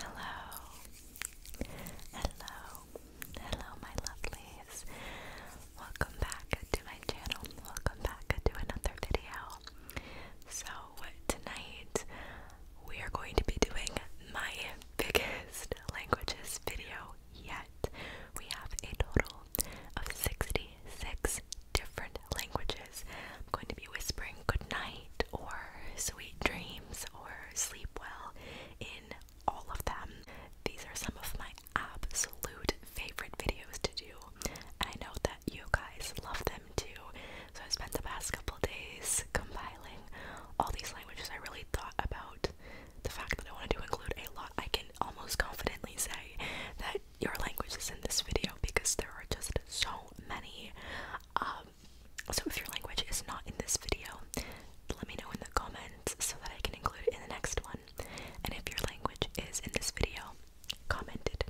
Hello, hello, hello, my lovelies. Welcome back to my channel. Welcome back to another video. So, tonight we are going to be doing my biggest languages video yet. We have a total of 66 different languages. I'm going to be whispering good night or sweet dreams or sleep well in all of them. These are some of my absolute favorite videos to do, and I know that you guys love them too. So I spent the past couple days compiling all these languages. I really thought about the fact that I wanted to include a lot. I can almost confidently say that your language is in this video because there are just so many. Um, so if your language is not in this video, let me know in the comments so that I can include it in the next one. And if your language is in this video, comment it.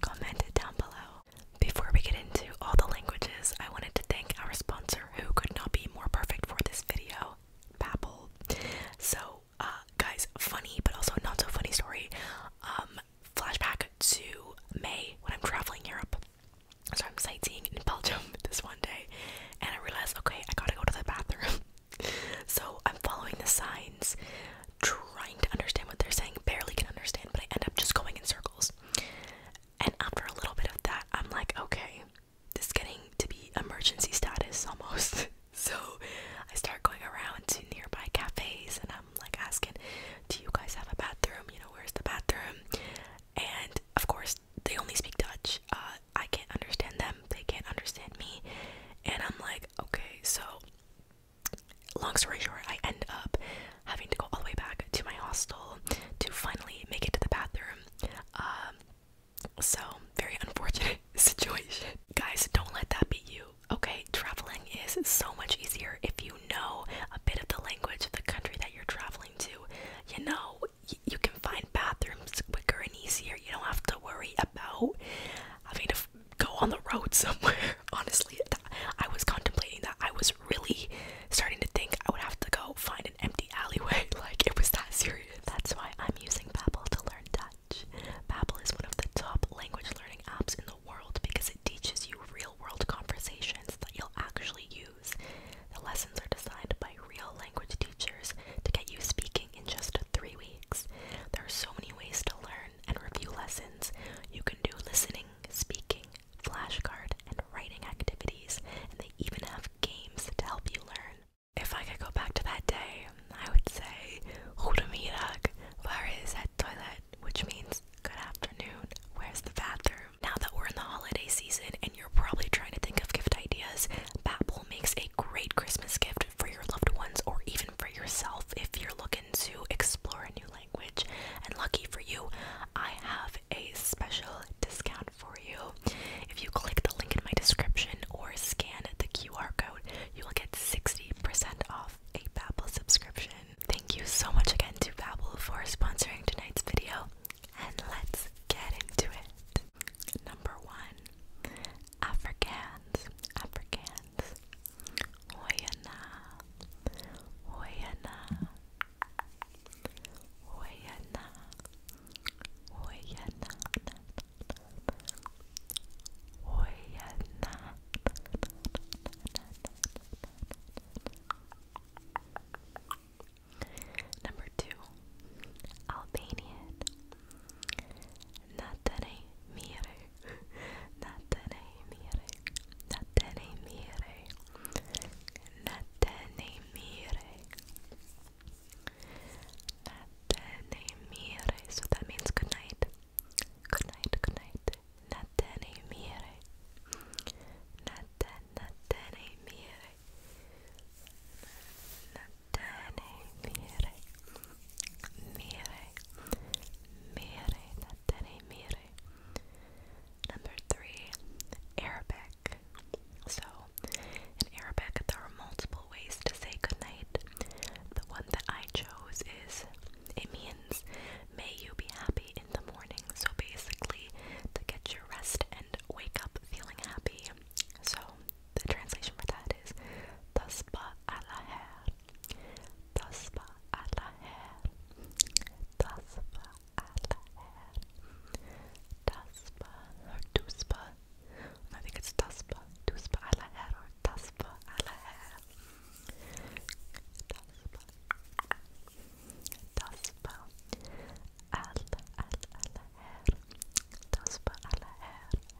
Comment it down below. Before we get into all the languages, I wanted to thank our sponsor who could not be more perfect for this video, Babbel. So, uh, guys, funny but also not so funny story. Um, flashback to May when I'm traveling Europe. So I'm sightseeing in Belgium this one day, and I realize, okay, I gotta go to the bathroom. so I'm following the signs, trying to understand what they're saying, barely can understand, but I end up just going in circles. And after a little bit of that, I'm like, okay, this is getting to be emergency status almost. so I start going around to nearby cafes and them, like asking, Do you guys have a bathroom? You know, where's the bathroom? And of course, they only speak Dutch. Uh, I can't understand them, they can't understand me. And I'm like, Okay, so long story short, I end up having to go all the way back to my hostel to finally make it to the bathroom. Um, so, very unfortunate situation. Guys, don't let that be you. Okay, traveling is so much easier if you know a bit of the language of the country that you're traveling to. You know, you can find bathrooms quicker and easier. You don't have to worry about having to go on the road somewhere. Honestly, I was contemplating that. I was really starting to think I would have to go find an empty alleyway. Like, it was that serious. That's why I'm using Babbel to learn that much. Babbel is one of the top language learning apps in the world because it teaches you real-world conversations that you'll actually use. The lessons are designed by real language teachers to get you speaking in just 3 weeks. There are so many ways to learn and review lessons. You can do listening, speaking, flashcard, and writing activities, and they even have games to help you learn. If I could go back to that day, I would say, Goedemiddag, where is that toilet? which means good afternoon. Where's the bathroom? Now that we're in the holiday season and you're probably trying to think of gift ideas, Babbel makes a great Christmas gift for your loved ones or even for yourself if you're looking to explore a new language. And lucky for you, I have a special discount for you. If you click the link in my description or scan the QR code, you will get 60% off a Babbel subscription. Thank you so much again to Babbel for sponsoring tonight's video, and let's get into it. Number one, Afrikaans, Afrikaans. Hoyana, hoyana, hoyana, hoyana, hoyana. Number two, Albanian. Natare mire, natare mire, natare mire, natare mire, natare mire. So that means good night. Good night, good night. Natene mire. Natene, natene mire. Natene mire. Mire. Mire, natene mire. Number three, Arabic. So, in Arabic, there are multiple ways to say good night. The one that I chose is Emi May you be happy in the morning. So basically, to get your rest and wake up feeling happy. So the translation for that is Tasba alaher. Tasba alaher. Tasba alaher. Tasba or Tusba. I think it's Tasba. Tusba alaher or Tasper alla här. Tasper. Tasper. All, all, alla här. Tasper alla här. Tasper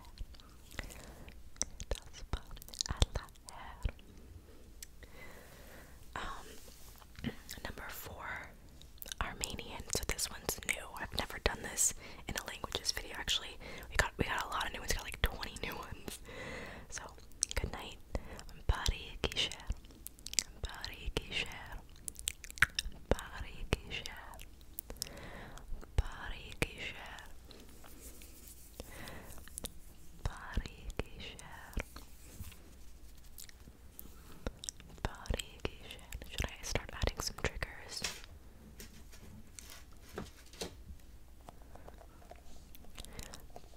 alla här. Um, number four. Armenian. So this one's new. I've never done this in a languages video. Actually, we got we got a lot of new ones. We got like 20 new ones. So Good night. Bari Kisher. Bari Kisher. Bari Kisher. Bari Kisher. Bari Kisher. Should I start adding some triggers?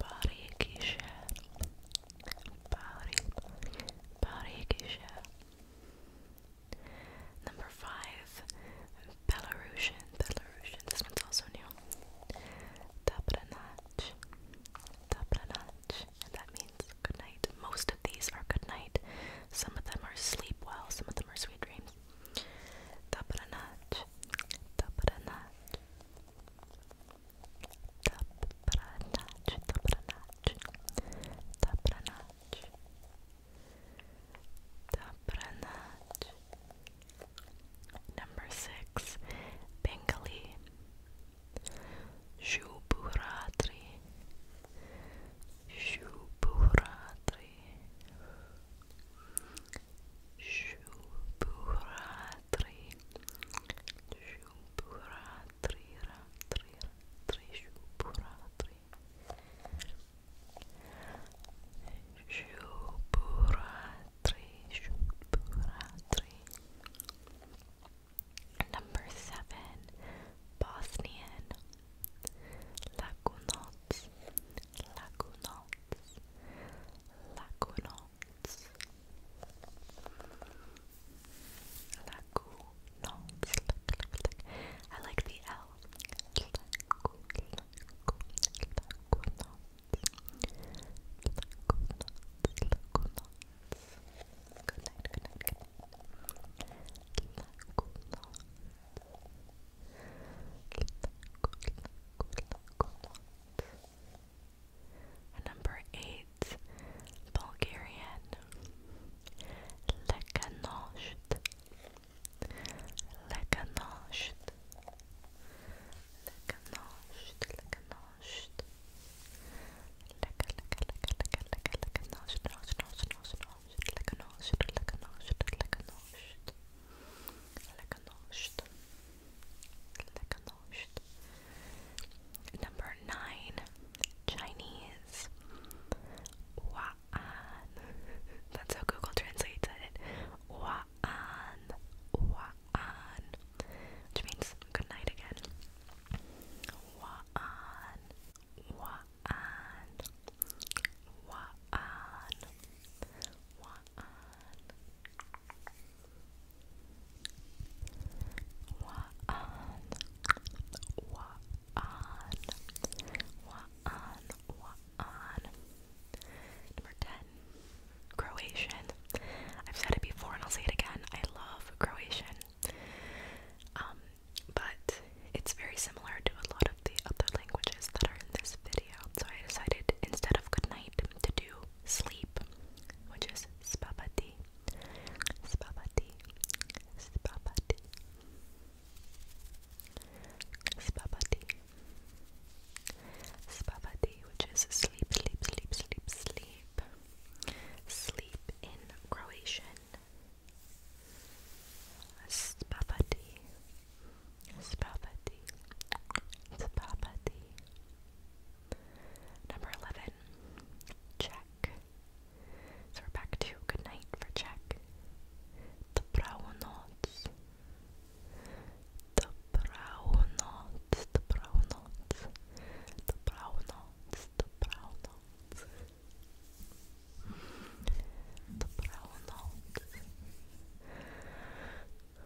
Body ki share. Number five, Belarusian. Belarusian. This one's also new. Dobranach. Dobranach. And that means good night. Most of these are good night. Some of them are sleep well. Some of them are sweet dreams. Dobranacz, dobranacz. Dobranacz, dobranacz. Dobranacz. Dobranacz. Number six, Bengali. Shubhuratri. Shubhuratri. Shubhuratri Shubhuratri Ratri Number seven Bosnian Lagunots Lagunots Lagoonauts. Lagoonauts. I like the L. Good night, good night, good night. Number eight, Bulgarian. Lekanosht. Lekanosht. Lekanosht. Lekanosht. Lekanosht. Lekanosht. Lekanosht. Lekanosht. Lekanosht. Lekanosht. Lekanosht. Lekanocht. Lekanocht. Number nine, Chinese. That's how Google translates it. Which means good night again. Wa'an Wa'an Wa'an Wa'an Number 10 Croatian I've said it before and I'll say it again I love Croatian um, but it's very similar to a lot of the other languages that are in this video so I decided instead of good night to do sleep, which is spabati, spabati, spabati, spabati, spabati, which is sleep, sleep, sleep, sleep, sleep, sleep in Croatian. Spavati, Spaghetti. Spaghetti. Number 11. Check. So we're back to good night for check. Dobranoc. Dobranoc. Dobranoc. Dobranoc. Dobranoc. Dobranoc.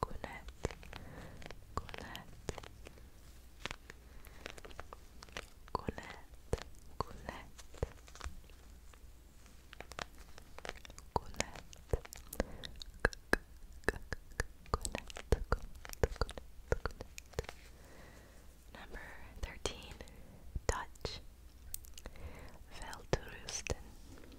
Colette, Colette, Colette, Colette, Colette, Number thirteen, Dutch, Velterusten,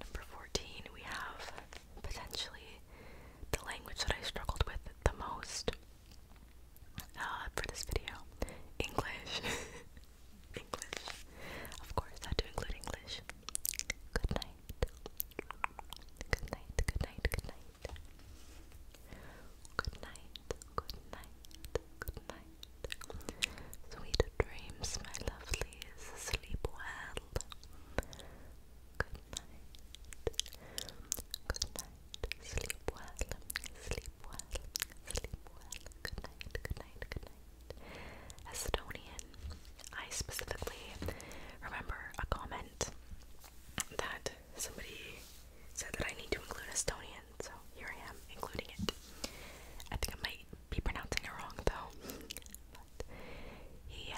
Number 14, we have potentially the language that I struggled with the most uh, for this video English. English. Of course, had to include English. Good night. Good night, good night, good night. Good night, good night, good night. Sweet dreams, my lovelies. Sleep well. Good night. Good night. Sleep well. Sleep well. Sleep well. Good night. Good night. Good night. Estonian. I specifically remember a comment that somebody said that I need to include Estonian, so here I am including it. I think I might be pronouncing it wrong though. But yeah,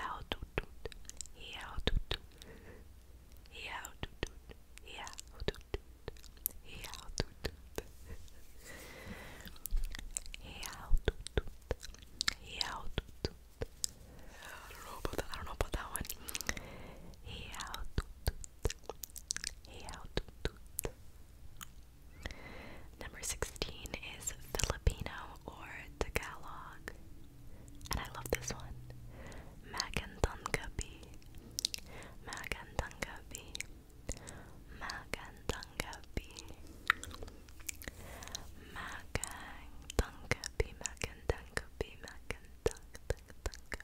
yeah, yeah, yeah, I don't know about that. I don't know about that one. How to toot. Number 16 is Filipino or Tagalog. And I love this one. Magandanggabi. Magandanggabi. Magandanggabi. Magandanggabi. Magandanggabi. Magandanggabi.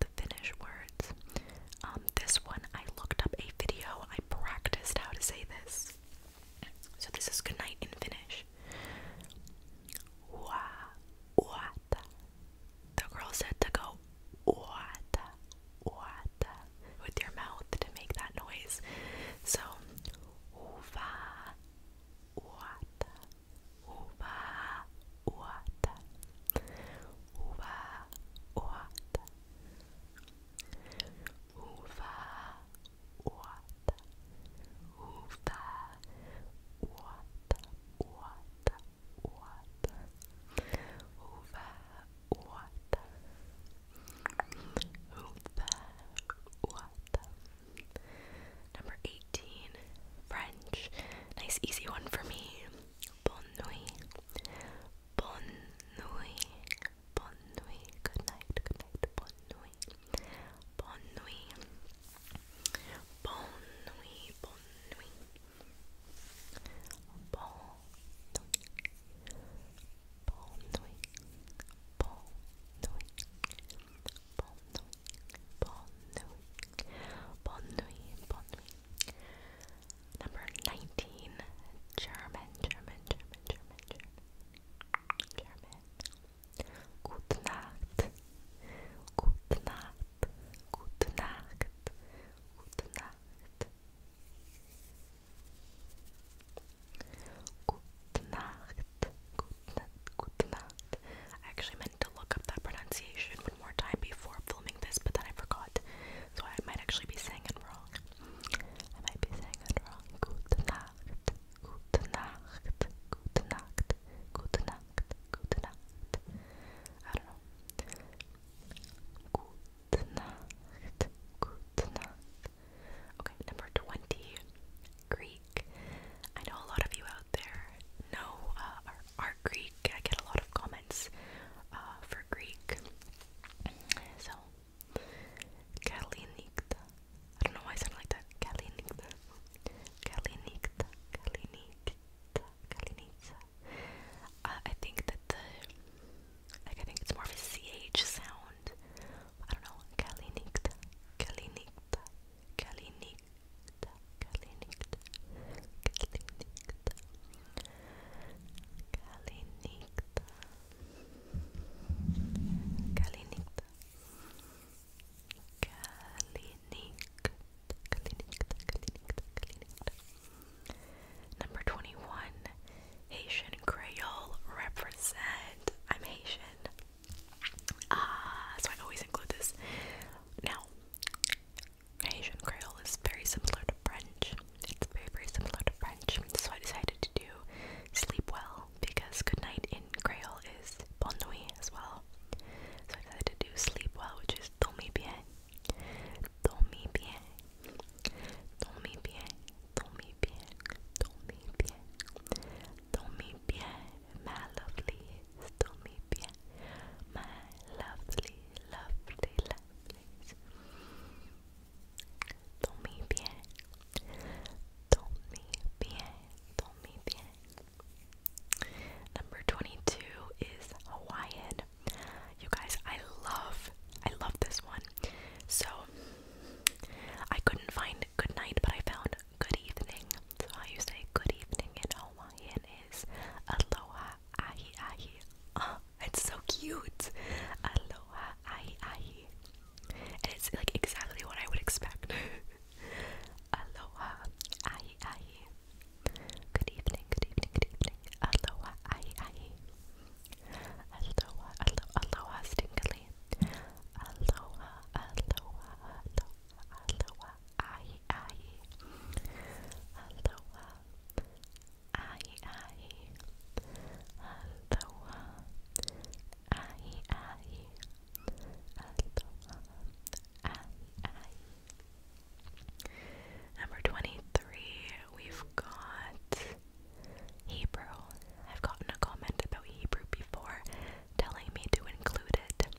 the Finnish words. Um, this one, I looked up a video. I practiced how to say this. So this is good night in Finnish. Wa, uata. The girl said to go uata, uata with your mouth to make that noise. So uata, uva, uata, uva, uata, uva, uata, uva, uata, uata, uata, uva, uata, uva, uata. Uva, Number 18, French. Nice easy one for me. Bonne nuit. Bonne nuit. Bonne nuit. Good night. Good night. Bonne nuit. Bonne nuit. Bonne nuit. Bonne nuit. Bonne nuit. Bonne nuit. Bonne nuit. Bonne nuit. Bonne nuit. Bonne nuit. Bonne nuit. Number 19. German, German, German, German, German. German. Gute Nacht. Gute Nacht. Gute Nacht. Gute Nacht. Gute Nacht. Gute Nacht. Gute Nacht. Actually, my to look up that pronunciation one more time before filming this, but then I forgot. So I might actually be saying it wrong. I might be saying it wrong. Gute Nacht, Gute Nacht, Gute I don't know. Gute Nacht, Okay, number 20, Greek. I know a lot of you there know uh, Greek. I get a lot of comments uh, for Greek. So, Kalinikta. I don't know why I sound like that. Kalinikta. Kalinikta. Kalinikta. Kalinikta. Uh, I think that the. Like, I think it's more of a CH sound. I don't know. Kalinikta. Kalinikta. Kalinikta. Kalinikta, Kalinikta, Kalinikta, Kalinikta, Kalinikta, Kalinikta, Kalinikta, Kalinikta, Kalinikta. Number 21, Haitian Creole represent. I'm Haitian. Ah, so I always include this. Now, Haitian Creole is very similar to French. It's very, very similar to French. So I decided to do sleep well because good night in Creole is bon nuit as well. So I decided to do sleep well, which is dormi bien, dormi bien, dormi bien, dormi bien, dormi bien, dormi bien, my lovely, Estomipia, my lovely, lovely, lovelies. Dormí bien, dormí bien, dormí bien. Number 22 is Hawaiian. You guys, I love, I love this one. So, I couldn't find good night, but I found good evening. So, how you say good evening in Hawaiian? Hawaiian is aloha ahi ahi. Oh, it's so cute. Aloha ahi ahi. it's like exactly what I would expect. aloha ahi ahi. Good evening, good evening, good evening. Aloha ahi ahi. Aloha, alo aloha stinkily. aloha, aloha, aloha, ahi ahi. Aloha, ahi ahi. Aloha, ahi ahi. Aloha, ahi ahi. Number 23, we've got Hebrew. I've gotten a comment about Hebrew before telling me to include it.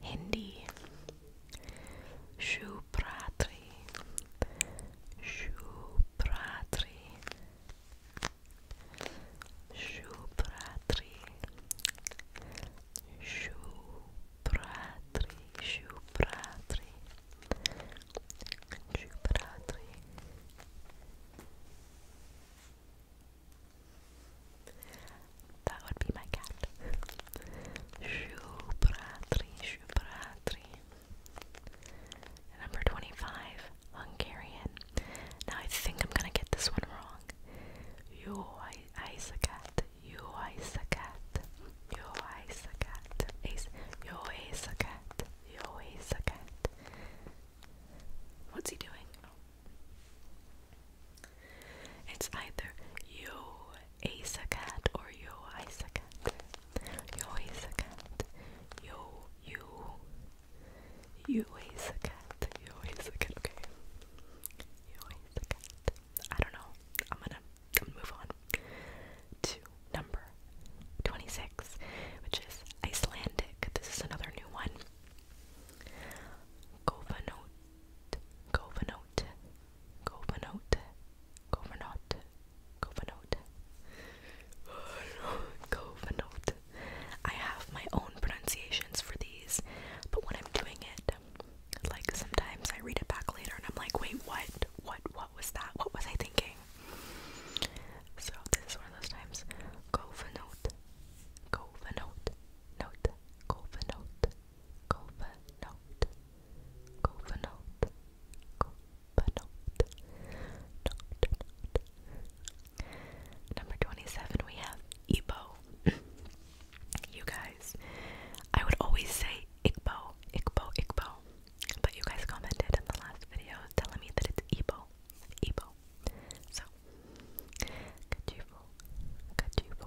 Hindi. Shubhratri. Shubhratri. Shubhratri. Shubhratri. Shubhratri. Shubhratri. That would be my cat. Shubratri, Shubratri. Number 25, Hungarian. Now I think I'm gonna get this one wrong. Yo Isakat, Yo Isakat, Yo Isakat, Yo Isakat, Yo Isakat. What's he doing? It's either yo Asacat or yo Isacat. Yo Asacat. Yo you you Asacat. Yo Asacat. Okay. Yo Asacat. I don't know. I'm gonna I'm move on to number 26, which is Icelandic. This is another new one. Kovanot Governorate, Governorate, note, Governorate, Governorate. I have my own pronunciations for these, but when I'm doing it, like sometimes I read it back later and I'm like, wait, what? What? What was that? What was I thinking? So this is one of those times. Governorate, Governorate, note, Governorate. Covenant, Covenant, Covenant, Number 27, we have Igbo. you guys, I would always say Igbo, Igbo, Igbo, but you guys commented in the last video telling me that it's Igbo, Igbo. So, Kajivo, Kajivo,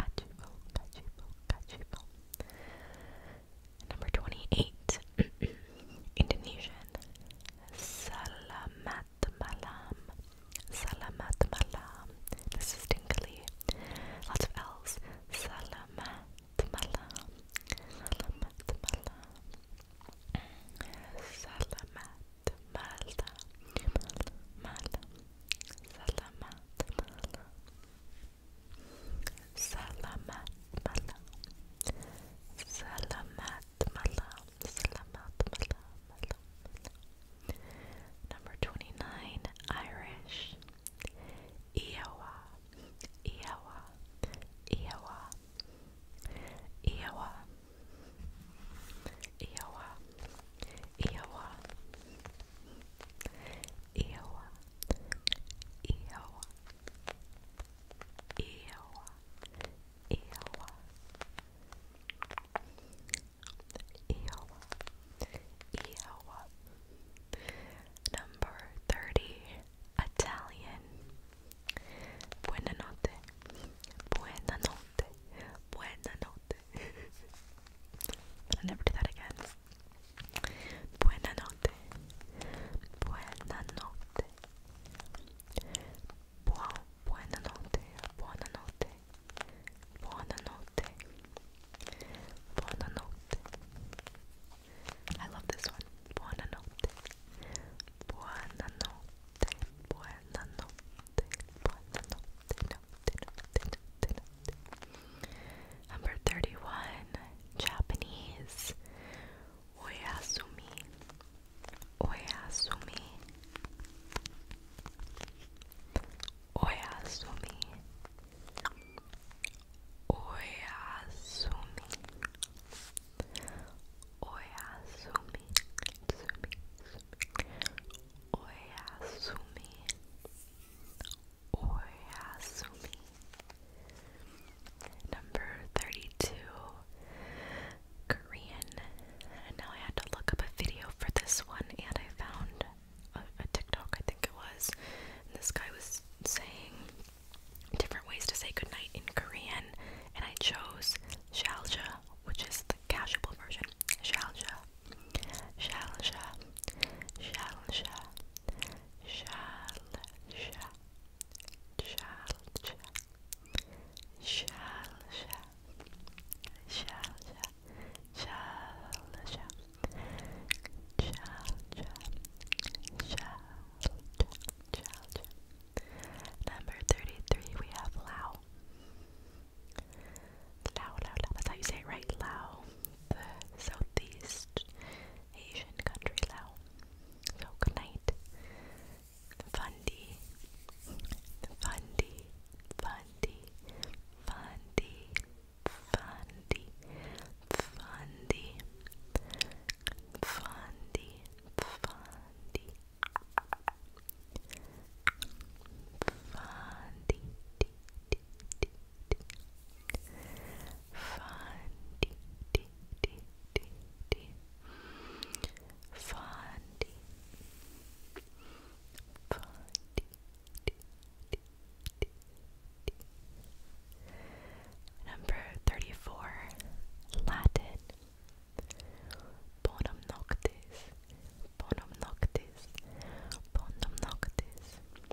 Or Achievable, Number 28. Indonesian. Salamat malam. Salamat malam. This is tingly. Lots of L's. Salamat malam. malam. malam. Malam. malam. Salamat malam. Salamat malam. Salamat malam. malam. Number 29, Irish. Iowa. Iowa. Iowa. Iowa. Iowa. Iowa. Iowa. Ew. Ew. Ew. Ew. Ew. Number 30. Italian. Buena notte. Buena notte. Buena notte. but I never do that again. Buonanotte. Buonanotte. Buon, buonanotte. Buonanotte. Buonanotte. Buonanotte. I love this one. Buonanotte. Buonanotte. Buonanotte. Buonanotte. Number 31, Japanese. Oyasumi. Oyasumi. Oyasumi. Oyasumi. Oyasumi. Oyasumi. Oyasumi. Oyasumi. Number 32, Korean. now I had to look up a video for this one, and I found a, TikTok, I think it was. this guy was saying different ways to say goodnight in Korean, and I chose shalja, which is the casual version. Shalja, Shalsha, Shalsha, Shalsha, Shalsha, Shalsha, Shalsha, Shalsha, Shalsha, Shalsha, Shalsha. Number 33, we have Lao. Lao, Lao, Lao. That's how you say it, right? Lao, the Southeast Asian country Lao. So good night. Fundy, fundy, fundy, fundy, fundy, fundy, fundy, fundy, fundy. Number thirty four Latin Bonum noctis Bonum noctis Bonum noctis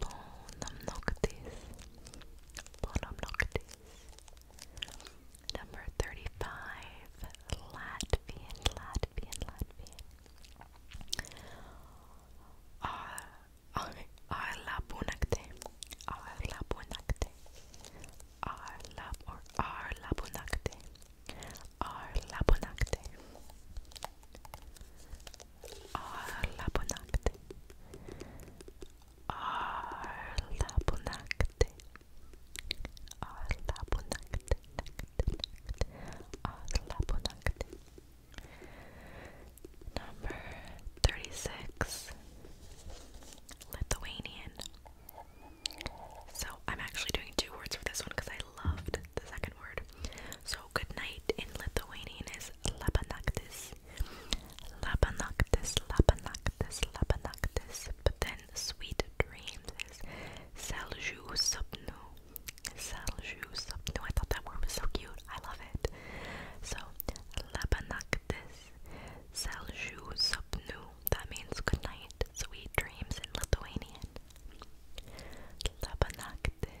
bonum noctis, bonum noctis. Number 35, Latvian, Latvian, Latvian. Ar, ar labunakte, ar labunakte, ar labunakte, ar labunakte. Arla bonakti. Arla bonakti. Arla bonakti. Arla bonakti. Number 36. Lithuanian. So I'm actually doing two words for this one because I loved the second word. So good night in Lithuanian is labanaktis. Labanactis, Labanactis, Labanactis, but then sweet dreams is Saljou Subnu. Saljou Subnu. I thought that word was so cute. I love it. So, Labanactis, Saljou Subnu. That means good night, sweet dreams in Lithuanian. Labanactis.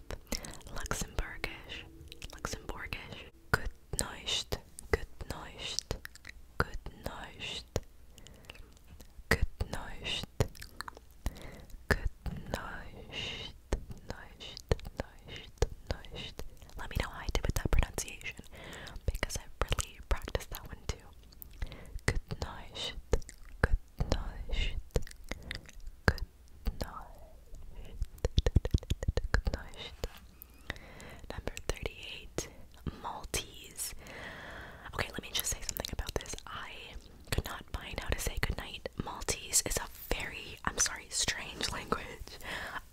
up Luxembourgish, Luxembourgish. Good night, good night, good night, good night, good night, night, night, night. Let me know how I did with that pronunciation because I really practiced that one too. Good night, good night. Good night. Good night. Number 38. Maltese. Okay, let me just say something about this. I could not find how to say goodnight. Maltese is a very, I'm sorry, strange language.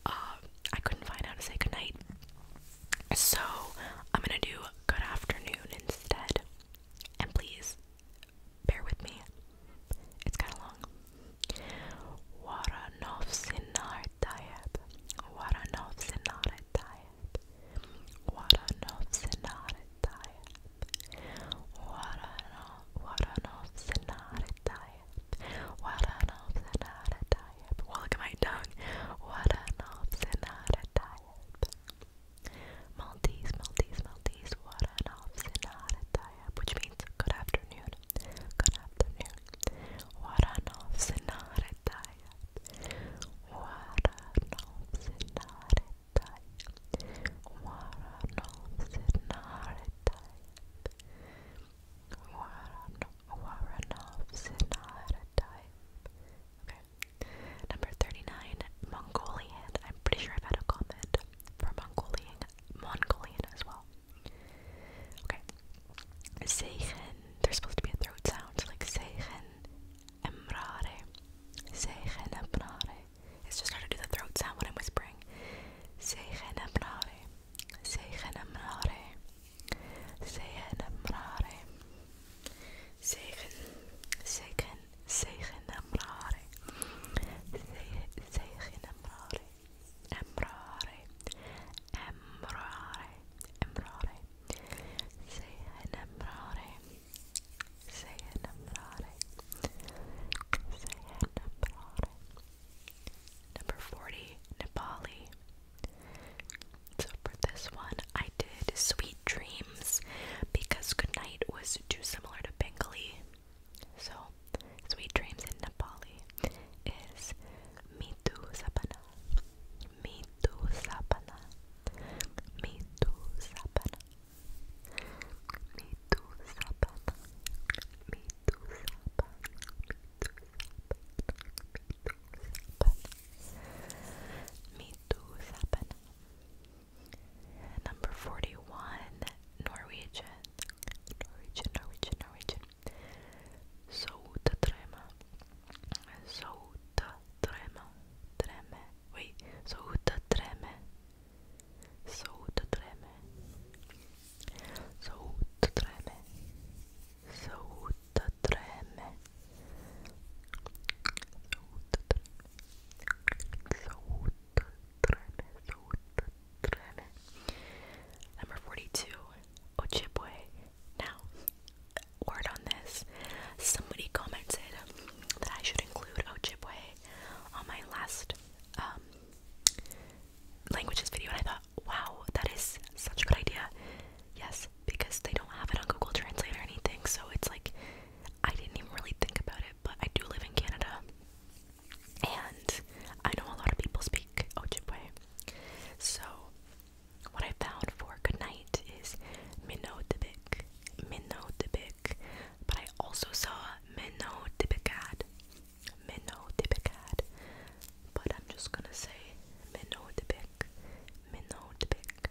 Um, I couldn't find how to say goodnight. So I'm gonna do good afternoon instead. And please bear with me. It's kind of long. Waranov sinar tayeb. Waranov sinar tayeb. Waranov sinar tayeb. Waranov waranov sinar tayeb. Waranov sinar tayeb. Well, look at my tongue. Waranov sinar tayeb. Maltese, Maltese, Maltese, what an off which means good afternoon, good afternoon. What an off What an Warren, Warren of Sinara type. Okay, Number 39, Mongolian. I'm pretty sure I've had a comment from Mongolian, Mongolian as well. Okay. Seichen. There's supposed to be a throat sound, like so like Seichen Emrare. and Emrare. It's just how to do the throat sound when I'm whispering. and Seichen Emrare. Seichen Emrare. and Emrare. Seichen. Seichen. سيخنا مراري سيخنا مراري امراري امراري امراري سيخنا مراري سيخنا مراري سيخنا مراري Number 40, Nepali. So for this one, I did sweet sweet dreams because goodnight was too similar to Bengali. So, sweet dreams in Nepali is Mitu Sapana. Mitu Sapana. Mitu Sapana. Mitu Sapana. Mitu Sapana. Mitu Sapana. Mitu Sapana. Number 41, Norwegian. Norwegian, Norwegian, Norwegian. Sotatrema. Sotatrema. Treme. Wait, sotatreme. Sotatreme. Sotatreme. Sotatreme. Sotatreme. Number 42, Ojibwe. Now, word on this. Somebody commented that I should include Ojibwe on my last um, languages video, and I thought, wow, that is such a good idea. Yes, because they don't have it on Google Translate or anything, so it's like I didn't even really think about it, but I do live in Canada, and I know a lot of people speak Ojibwe. So, what I found for goodnight is Minotibik, Minotibik, but I also saw Minotibikad, Minotibikad, but I'm just gonna say Minotibik, Minotibik.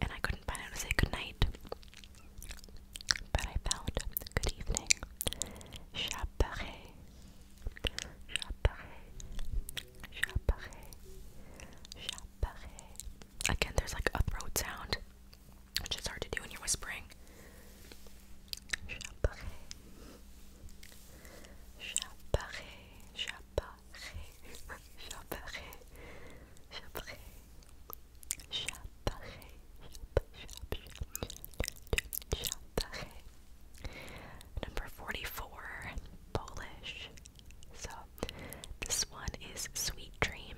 and I couldn't find out to say goodnight. But I found good evening. Chaparé. Chaparé. Chaparé. Chaparé. Again, there's like a throat sound, which is hard to do when you're whispering. Chaparé. Chaparé. Chaparé. Number 44, Polish. So this one is Sweet Dreams.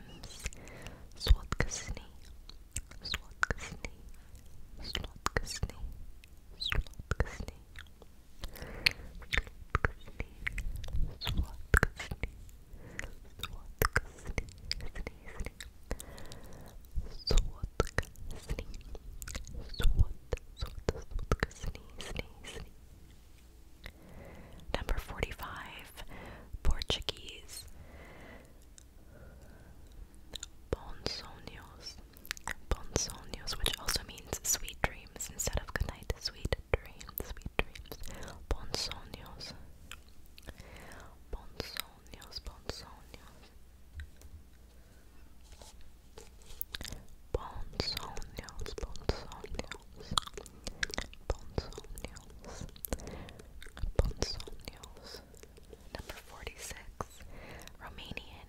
Number 45, Portuguese. Bonsonios. Bonsonios, which also means sweet dreams instead of good night. Sweet dreams, dreams. Bonsoños. Bonsoños, bonsoños. Bonsoños, bonsoños. Bonsoños. Bonsoños. Number 46. Romanian.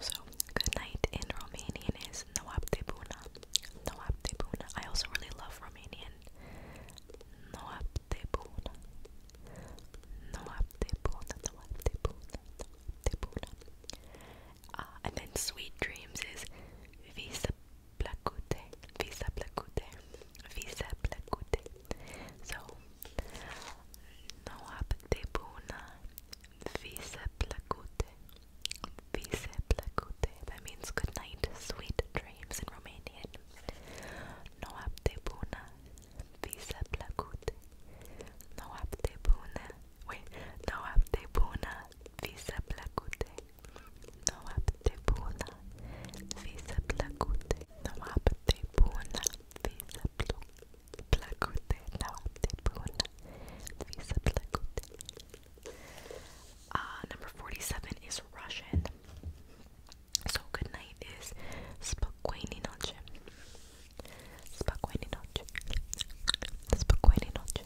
So, good night in Romanian is noapte bună. Noapte bună. I also really love Romanian. Noapte bună. Noapte bună. Noapte bună. Noapte bună. Uh, and then sweet dreams is visa placute. Visa placute. Visa placute. So, noapte bună. Vise placute. Vise placute. That means good night, sweet dreams in Romanian. Noapte bună. Vise placute. Noapte bună. Wait. Noapte bună. Vise placute. Noapte bună. Vise placute. Noapte bună. Vise placute. Uh, number 47 is Russian. So good night is spokojnej noche. Spokojnej noche. Spokojnej noche. Spokojnej noche.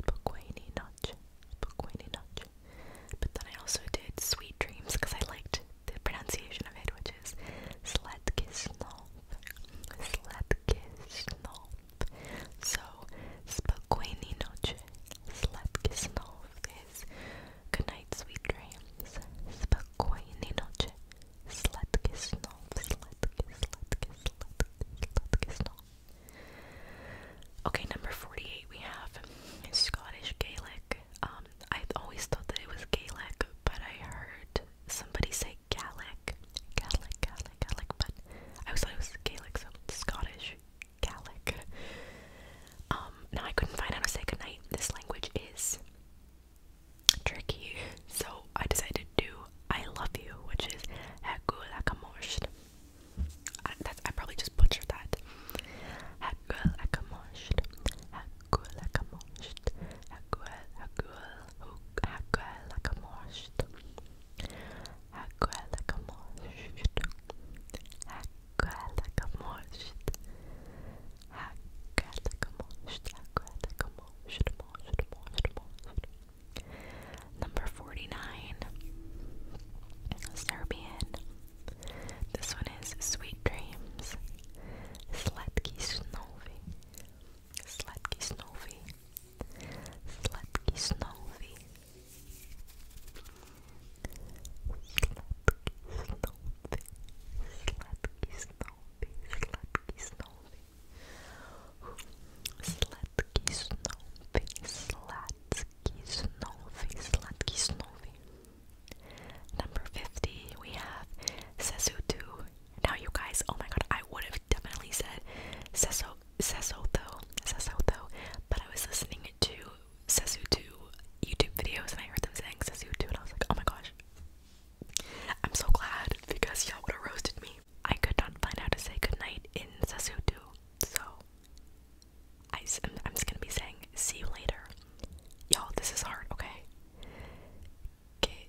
Spokojnej noche. Spokojnej noche. But then I also did Sweet Dreams because I liked the pronunciation of it, which is Sledkisno. Sladkisnov. So, spokojni noche. Sladkisnov is good night, sweet dreams. Spokojni noche. Sladkisnov. Sladkis, Okay, number 48 we have Scottish Gaelic. Um, I always thought that it was Gaelic, but I heard somebody say Gaelic, Gaelic, Gaelic, Gaelic, but I was like it was Gaelic, so Scottish, Gaelic. Um, now I couldn't find how to say goodnight. This language is tricky, so I decided to do I love you, which is Hagulakamorst. I, that's, I probably just butchered that. Hagulakamorst, Hakuelakamost, Hakuel, Hakuel, Hakuelakamost, Hakuelakamost, Hakuelakamost, Hakuelakamost, Hakuelakamost, most, most, most. Number 49, Serbian. This one is Sweet Dreams. Slatki snowy. Sladký snový. Sladký snový. Sladký snový. Sladký snový. Sladký snový. Sladký snový. Sladký snový. Number 50, we have Sesutu now you guys, oh my god, I would have definitely said Seso Sesotho, tho," but I was listening to Sesutu YouTube videos and I heard them saying Sesutu and I was like, oh my gosh. I'm so glad because y'all would have roasted me. I could not find how to say goodnight in Sesutu, so I, am I'm just gonna be saying see you later. Y'all, this is hard, okay? Okay,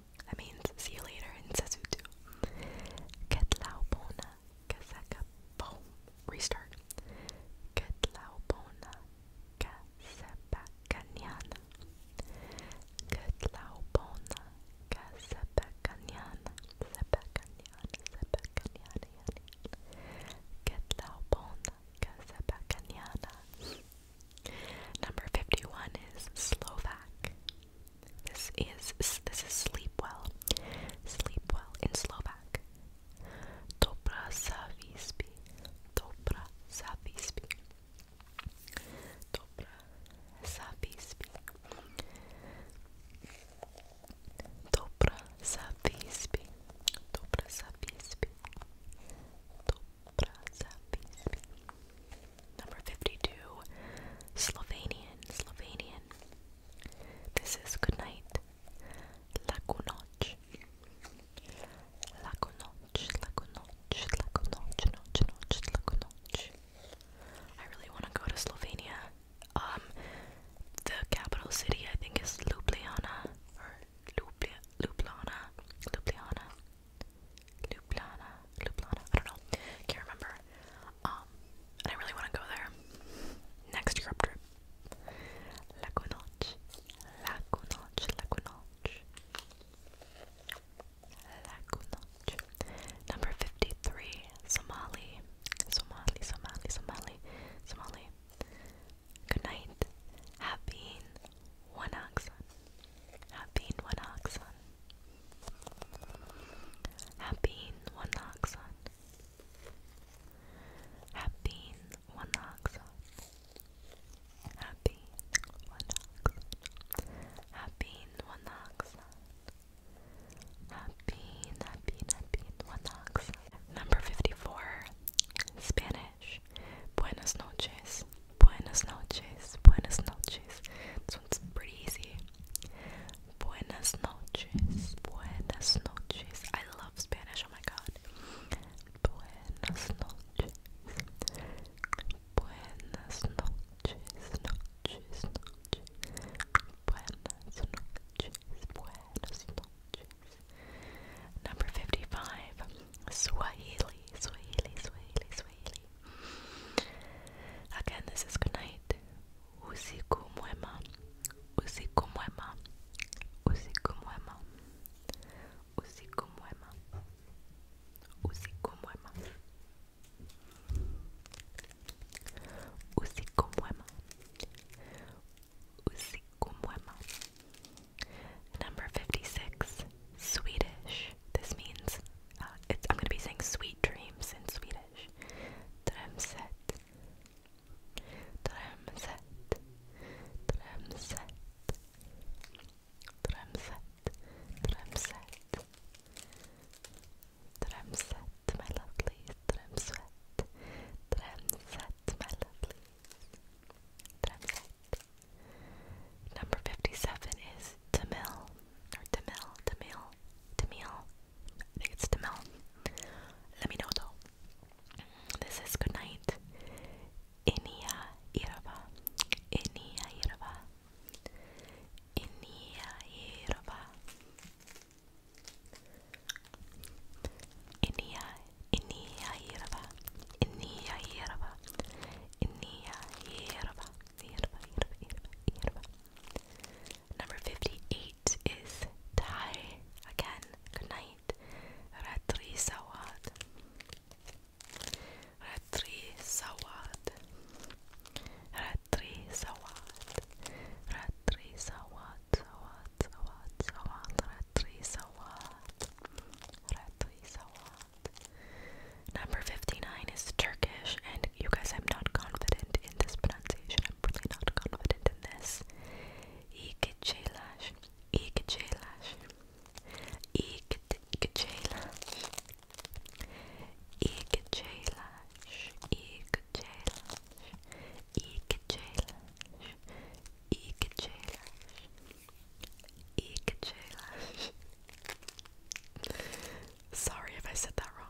that means see you later in Sasutu. Ketlaupona Kasakapom. Restart. Ketlaupona Kasapakanyana. Ketlaupona Kasapakanyana. Sepakanyana. Sepakanyana. Ketlaupona Kasapakanyana. Number 51 is Slovak. This is this is sleep well. Sleep well in Slovak. Dobra zavispi. Dobra zavispi. Dobra zavispi. Dobra zavispi. Dobra zavispi. Dobra zavispi. Number 52, Slovenian, Slovenian. This is good night. Laku noć. Laku noć, laku noć, laku noć, noć, noć, laku noć. I really want to go to Slovenia. Um, the capital city I think is Ljubljana or Ljubljana, Ljubljana. Ljubljana, Ljubljana, I don't know, can't remember. Um, and I really want to go there. Next trip. Lagunoch, Lagunoch, Lagunoch, Lagunoch. Number 53, Somali, Somali, Somali, Somali, Somali. Good night. Have been one oxen. Happeen Wanaksan. Happeen Wanaksan. Happeen Wanaksan. Happeen Wanaksan. Happeen, happeen, happeen Wanaksan. Number 54. Spanish. Buenas noches. Buenas noches. Buenas noches. This pretty easy. Buenas noches. Buenas noches. I love Spanish. Oh my god. Buenas noches. Buenas noches. Noches. Noches. Buenas noches. Buenas noches. Number 55. Swahili. Swahili. Swahili. Swahili. Again, this is good night. Usiku mwema. Usiku mwema. Usiku mwema. Usiku mwema. Usiku mwema. Usiku mwema. Usiku mwema. Number 56. Swedish. This means uh, I'm going to be saying sweet dreams in Swedish. Drömset. Drömset. Drömset. Drömset. Drömset. Drömset, my lovelies. Drömset. Drömset, my lovelies. Drömset. Number 57 is Tamil, or Tamil, Tamil, Demille, Demille, I think it's Demille. Let me know though. This is good night. Inia Irva, Inia Irva, Inia Irva, Inia, Inia Irva, Inia Irva, Inia Irva. Number 58 is Thai. Again, good night. Ratri Sawad. Ratri Sawad. Ratri Sawad. Ratri Sawad. Sawad, Sawad, Sawad. Ratri Sawad. Ratri Sawad. Number 59 is Turkish, and you guys, I'm not confident in this pronunciation. I'm really not confident in this. İkecelaş, İkecelaş, İkecelaş, İkecelaş, İkecelaş, İkecelaş, İkecelaş, İkecelaş. Sorry if I said that wrong.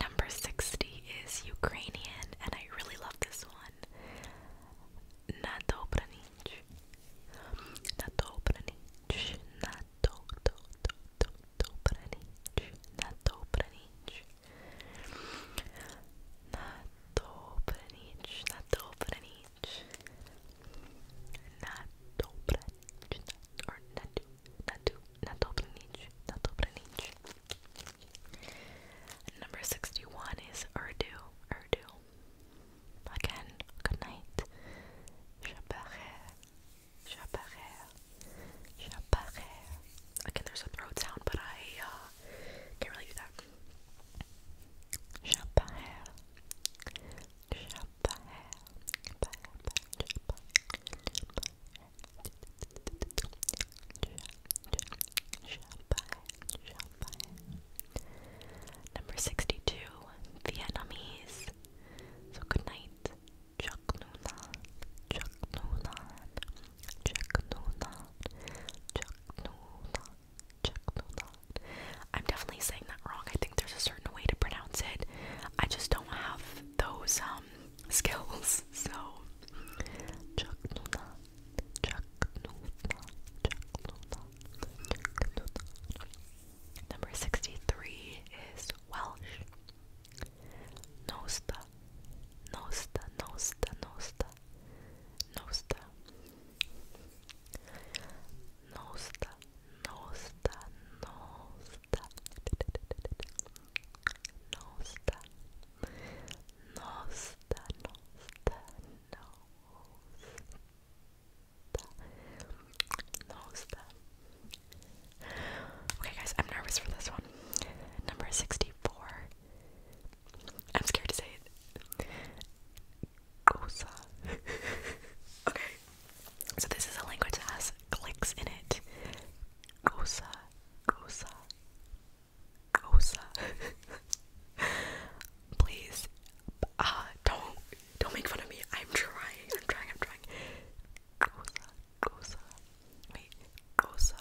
Number 60 is Ukrainian, and I really love this one. Na dobra nić. Na dobra nić. Na do, do, do, do, dobra nić. Na dobra nić. Na dobra nić. Na dobra nić. Na dobra nić. Or na do na, do, na dobra nić, na dobra nić. Number 61 is Urdu, Urdu. Again, good night. Shabarer, shabarer, shabarer. Again, there's a throat sound, but I uh, can't really do that. Shabarer, Number 62, Vietnamese. So good night. I'm definitely saying that wrong. I think there's a certain way to pronounce it. I just don't have those um, skills. So Number sixty-three is Welsh. Nosta, Nosta, Nosta, Nosta, Nosta. Nosta, no Nosta, no nosta, no nosta, no nosta. Okay, guys, I'm nervous for this one. Number sixty-four. I'm scared to say it. okay. So this is a language that has clicks in it. Gosa, gosa, gosa. Please, uh, don't, don't make fun of me. I'm trying. I'm trying. I'm trying. Gosa, gosa. Wait, gosa,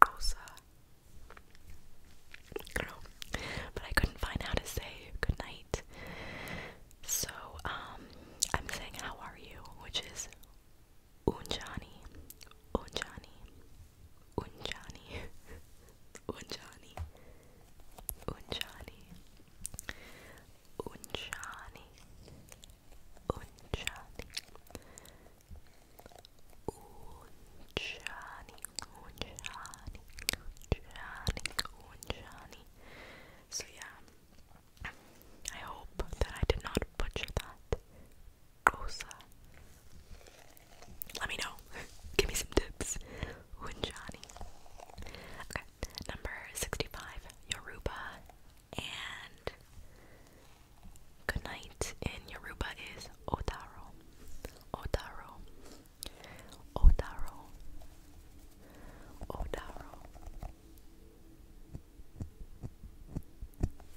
gosa. I but I couldn't find how to say good night. So, um, I'm saying how are you, which is Unjani, Unjani, Unjani, Unjani, Unjani, Unjani, Unjani, Unjani, Unjani, Unjani, Unjani. So yeah, I hope that I did not butcher that. Gosa. Let me know. Give me some tips. Winjani. Okay, number 65, Yoruba. And good night in Yoruba is Otaro. Otaro. Otaro. Otaro.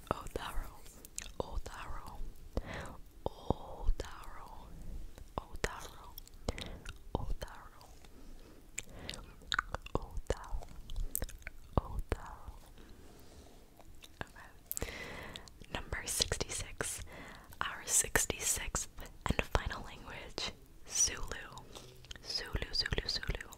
Otaro, Otaro, Otaro, Otaro, Otaro, Otaro, Otaro. Okay. Number 66. Our 66th and final language, Zulu. Zulu, Zulu, Zulu.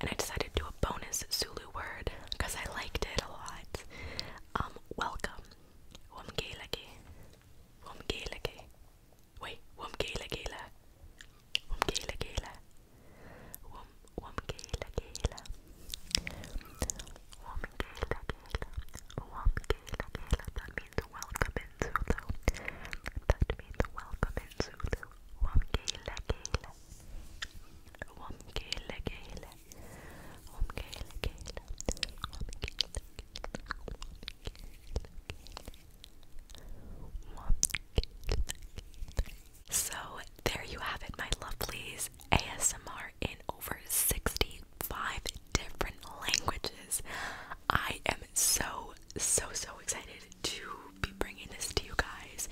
and I decided to do a bonus Zulu word because I liked it a lot. Um, welcome. Womgelege. Womgelege. Wait, womgelegela. Womgelegela. Wom womgelegela. Womgelegela. Womgelegela. That means welcome in Zulu. That means welcome in Zulu. Womgelegela. So there you have it, my lovelies. ASMR in over 65 different languages. I am so, so, so excited to be bringing this to you guys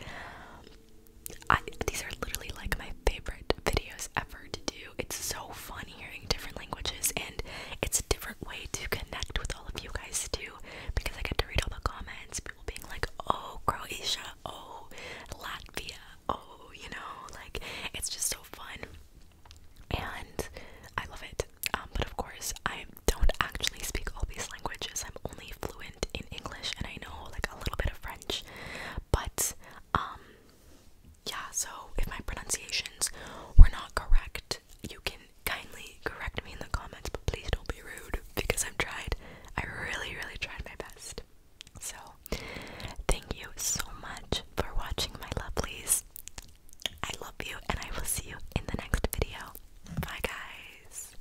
these are literally like my favorite videos ever to do. It's so fun hearing different languages, and it's a different way to connect with all of you guys too. Because I get to read all the comments, people being like, "Oh, Croatia," "Oh, Latvia," "Oh," you know, like it's just so fun, and I love it. Um, but of course, I don't actually speak all these languages. I'm only fluent in English, and I know like a little bit of French. But um, yeah, so if my pronunciations were not correct, you can kindly correct me in the comments, but please don't be rude because I've tried. I really, really tried my best. So, thank you so much for watching, my lovelies. I love you, and I will see you in the next video. Bye, guys.